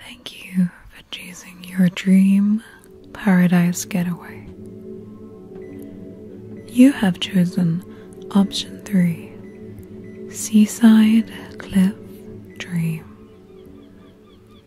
Thank you for choosing your dream paradise getaway. You have chosen option three Seaside Cliff Dream.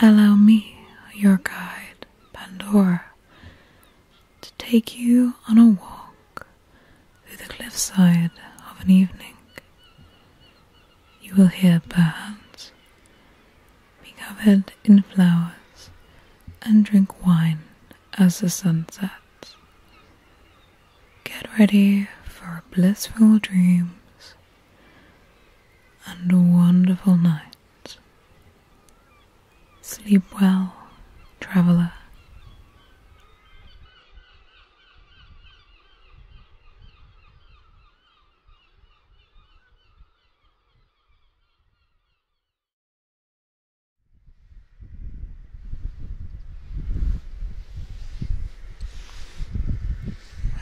Allow me, your guide, Pandora, to take you on a walk through the cliffside of an evening you will hear birds be covered in flowers and drink wine as the sun sets. Get ready for blissful dreams and a wonderful night. Sleep well, traveller.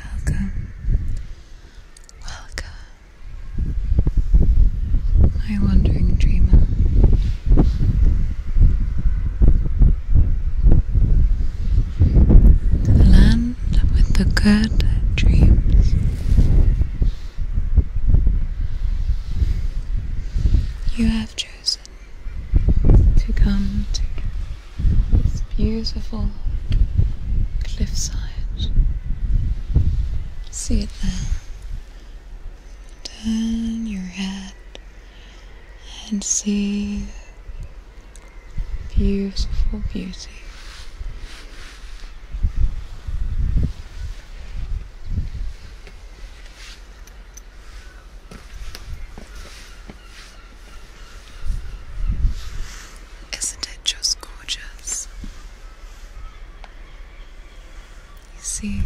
Welcome, welcome, my wandering dreamer the land with the good dreams. You have chosen to come to this beautiful cliffside. See it there. Turn your head and see beautiful beauty. Isn't it just gorgeous? You see,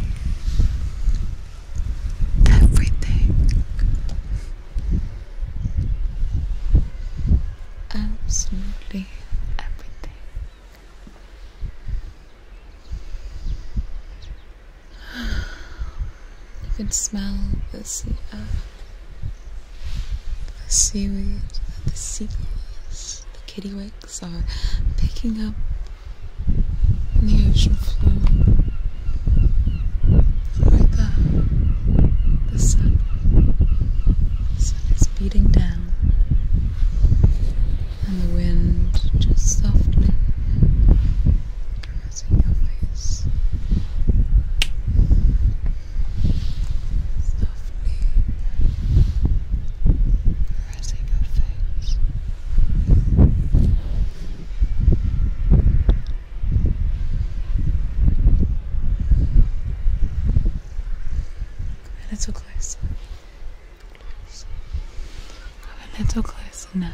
everything. Absolutely everything. You can smell the sea earth, uh, the seaweed, the seagulls, the kittywigs are picking up and uh, the ocean flow. Right there, The sun is beating down, and the wind just softly caressing your face. Softly caressing your face. A little closer. closer. A little closer now.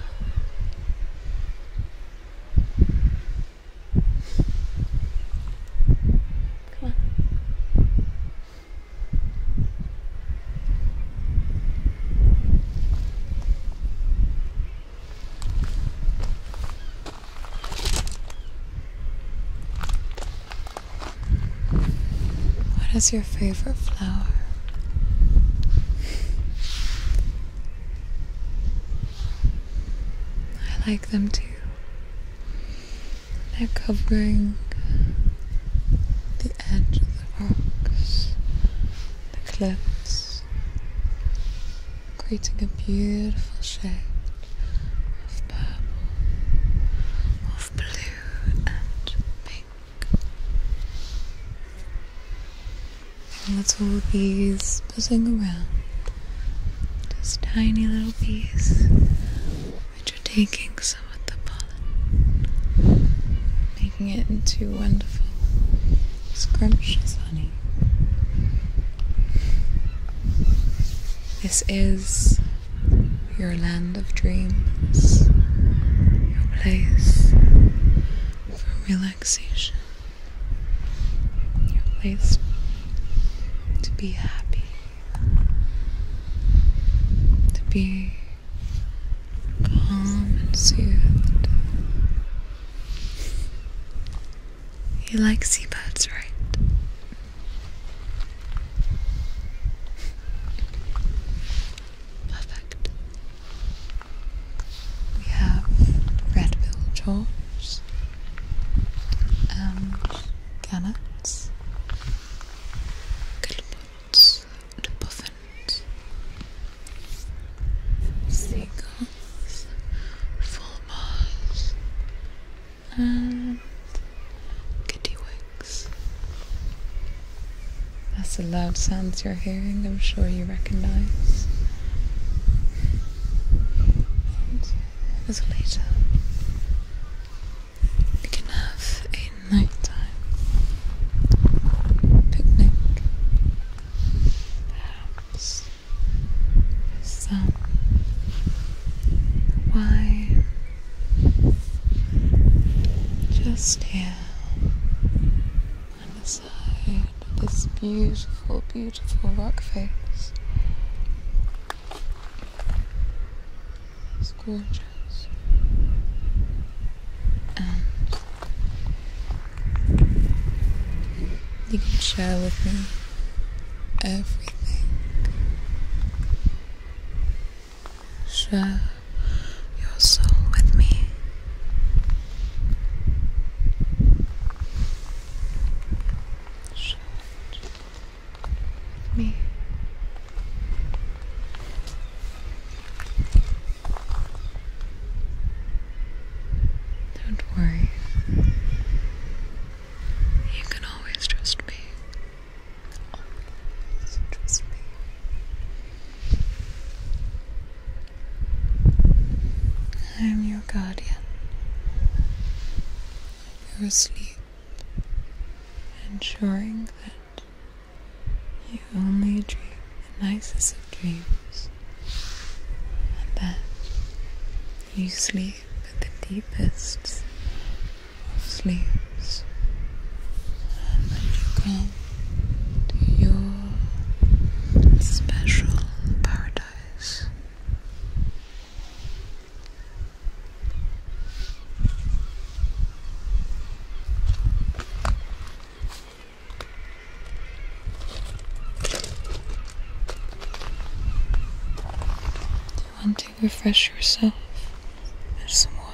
Come on. What is your favorite flower? I like them too. They're covering the the rocks, the cliffs, creating a beautiful shade of purple, of blue and pink. And all these buzzing around. This tiny little piece which are taking so making it into wonderful, scrumptious honey. This is your land of dreams, your place for relaxation, your place to be happy, to be calm and soothed. He likes seabirds, right? Perfect. We have red billed chores gannets, guillemots, Owls puffins. Seagulls, full and kittywigs. That's the loud sounds you're hearing, I'm sure you recognize. And a later, you can have a nighttime picnic, perhaps some wine just here on the side of this beautiful, beautiful rock face. It's gorgeous. And you can share with me everything. Share your soul with me. Share with me. Don't worry. You can always trust me. I'm your guardian. You're ensuring that you only dream the nicest of dreams, and then you sleep with the deepest of sleeps, and you come to your special paradise. Do you want to refresh yourself with some water?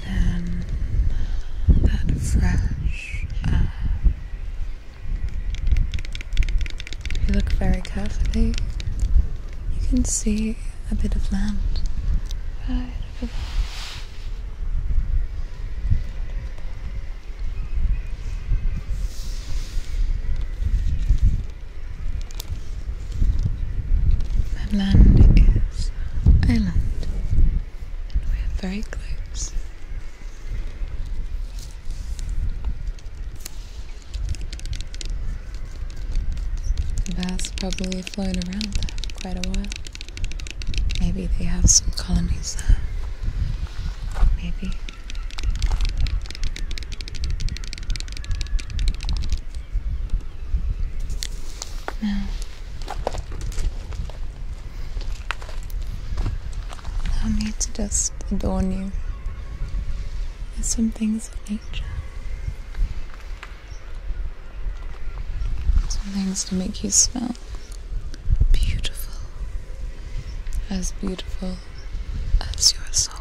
carry that fresh If you look very carefully, you can see a bit of land right over there. The land is island, and we are very close. Bass probably float around for quite a while. Maybe they have some colonies there. Maybe. Now, allow me to just adorn you with some things of nature. Some things to make you smell beautiful, as beautiful as your soul.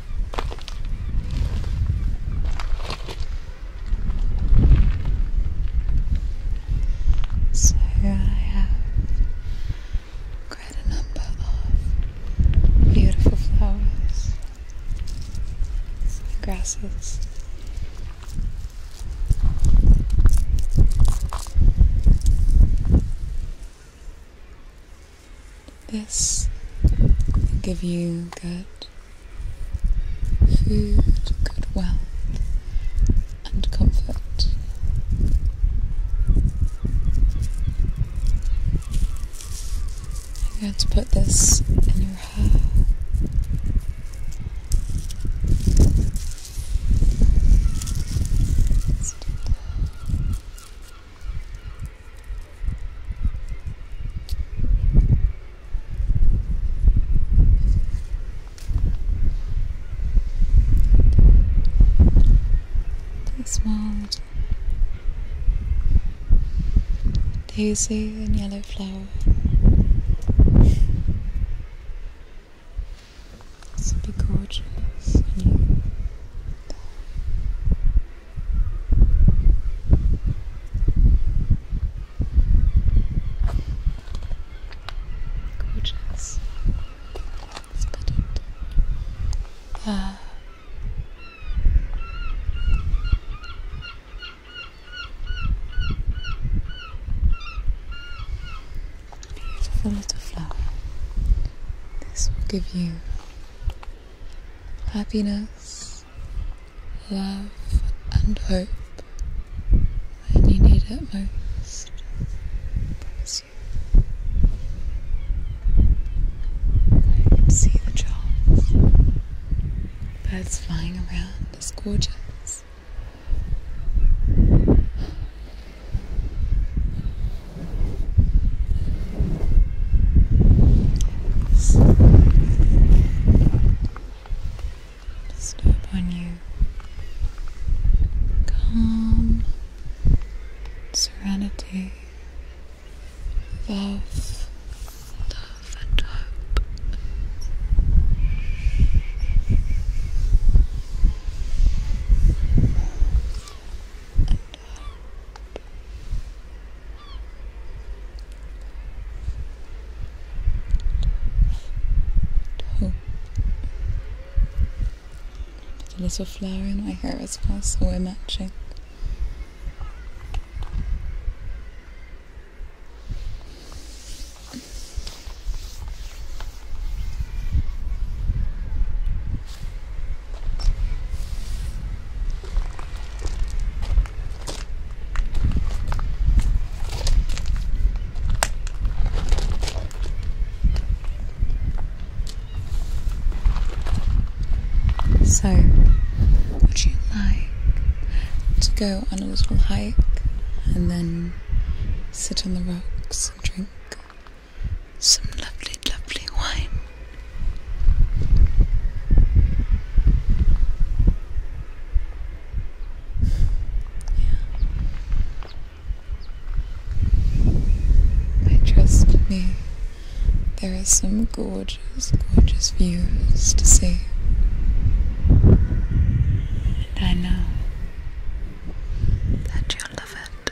So I have quite a number of beautiful flowers, grasses. This will give you good food, good wealth, and comfort. I'm going to put this in your hair smiled. Daisy and yellow flower. This would be gorgeous. Gorgeous. Uh, beautiful little flower. This will give you happiness, love, and hope when you need it most. see the birds flying around. It's gorgeous. Step on you. Calm, serenity, love, love and hope. Uh, Put a little flower in my hair as well so we're matching. So, would you like to go on a little hike and then sit on the rocks and drink some lovely, lovely wine. Yeah. I trust me. There are some gorgeous, gorgeous views to see. And I know that you'll love it.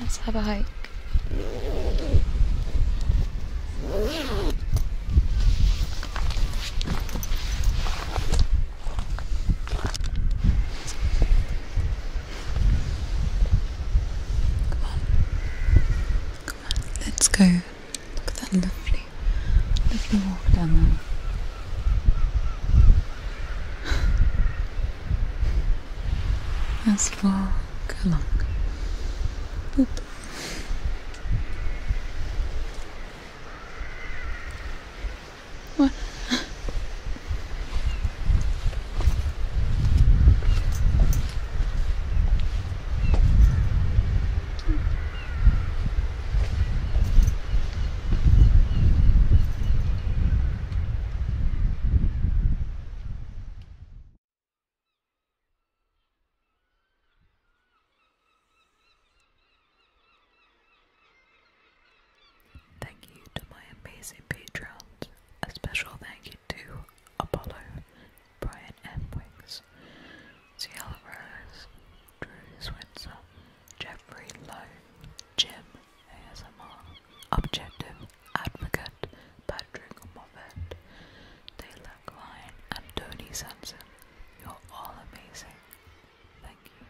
Let's have a hike. Come on. Come on. Let's go. Look at that lovely, lovely walk down there. Let's walk along. Boop. What? Thank you to my amazing patrons. A special thank you to Apollo, Brian M. Wicks, Ciel Rose, Drew Swinson, Jeffrey Lowe, Jim, ASMR objective advocate Patrick Moffat, Taylor Klein, and Tony Sampson. You're all amazing. Thank you.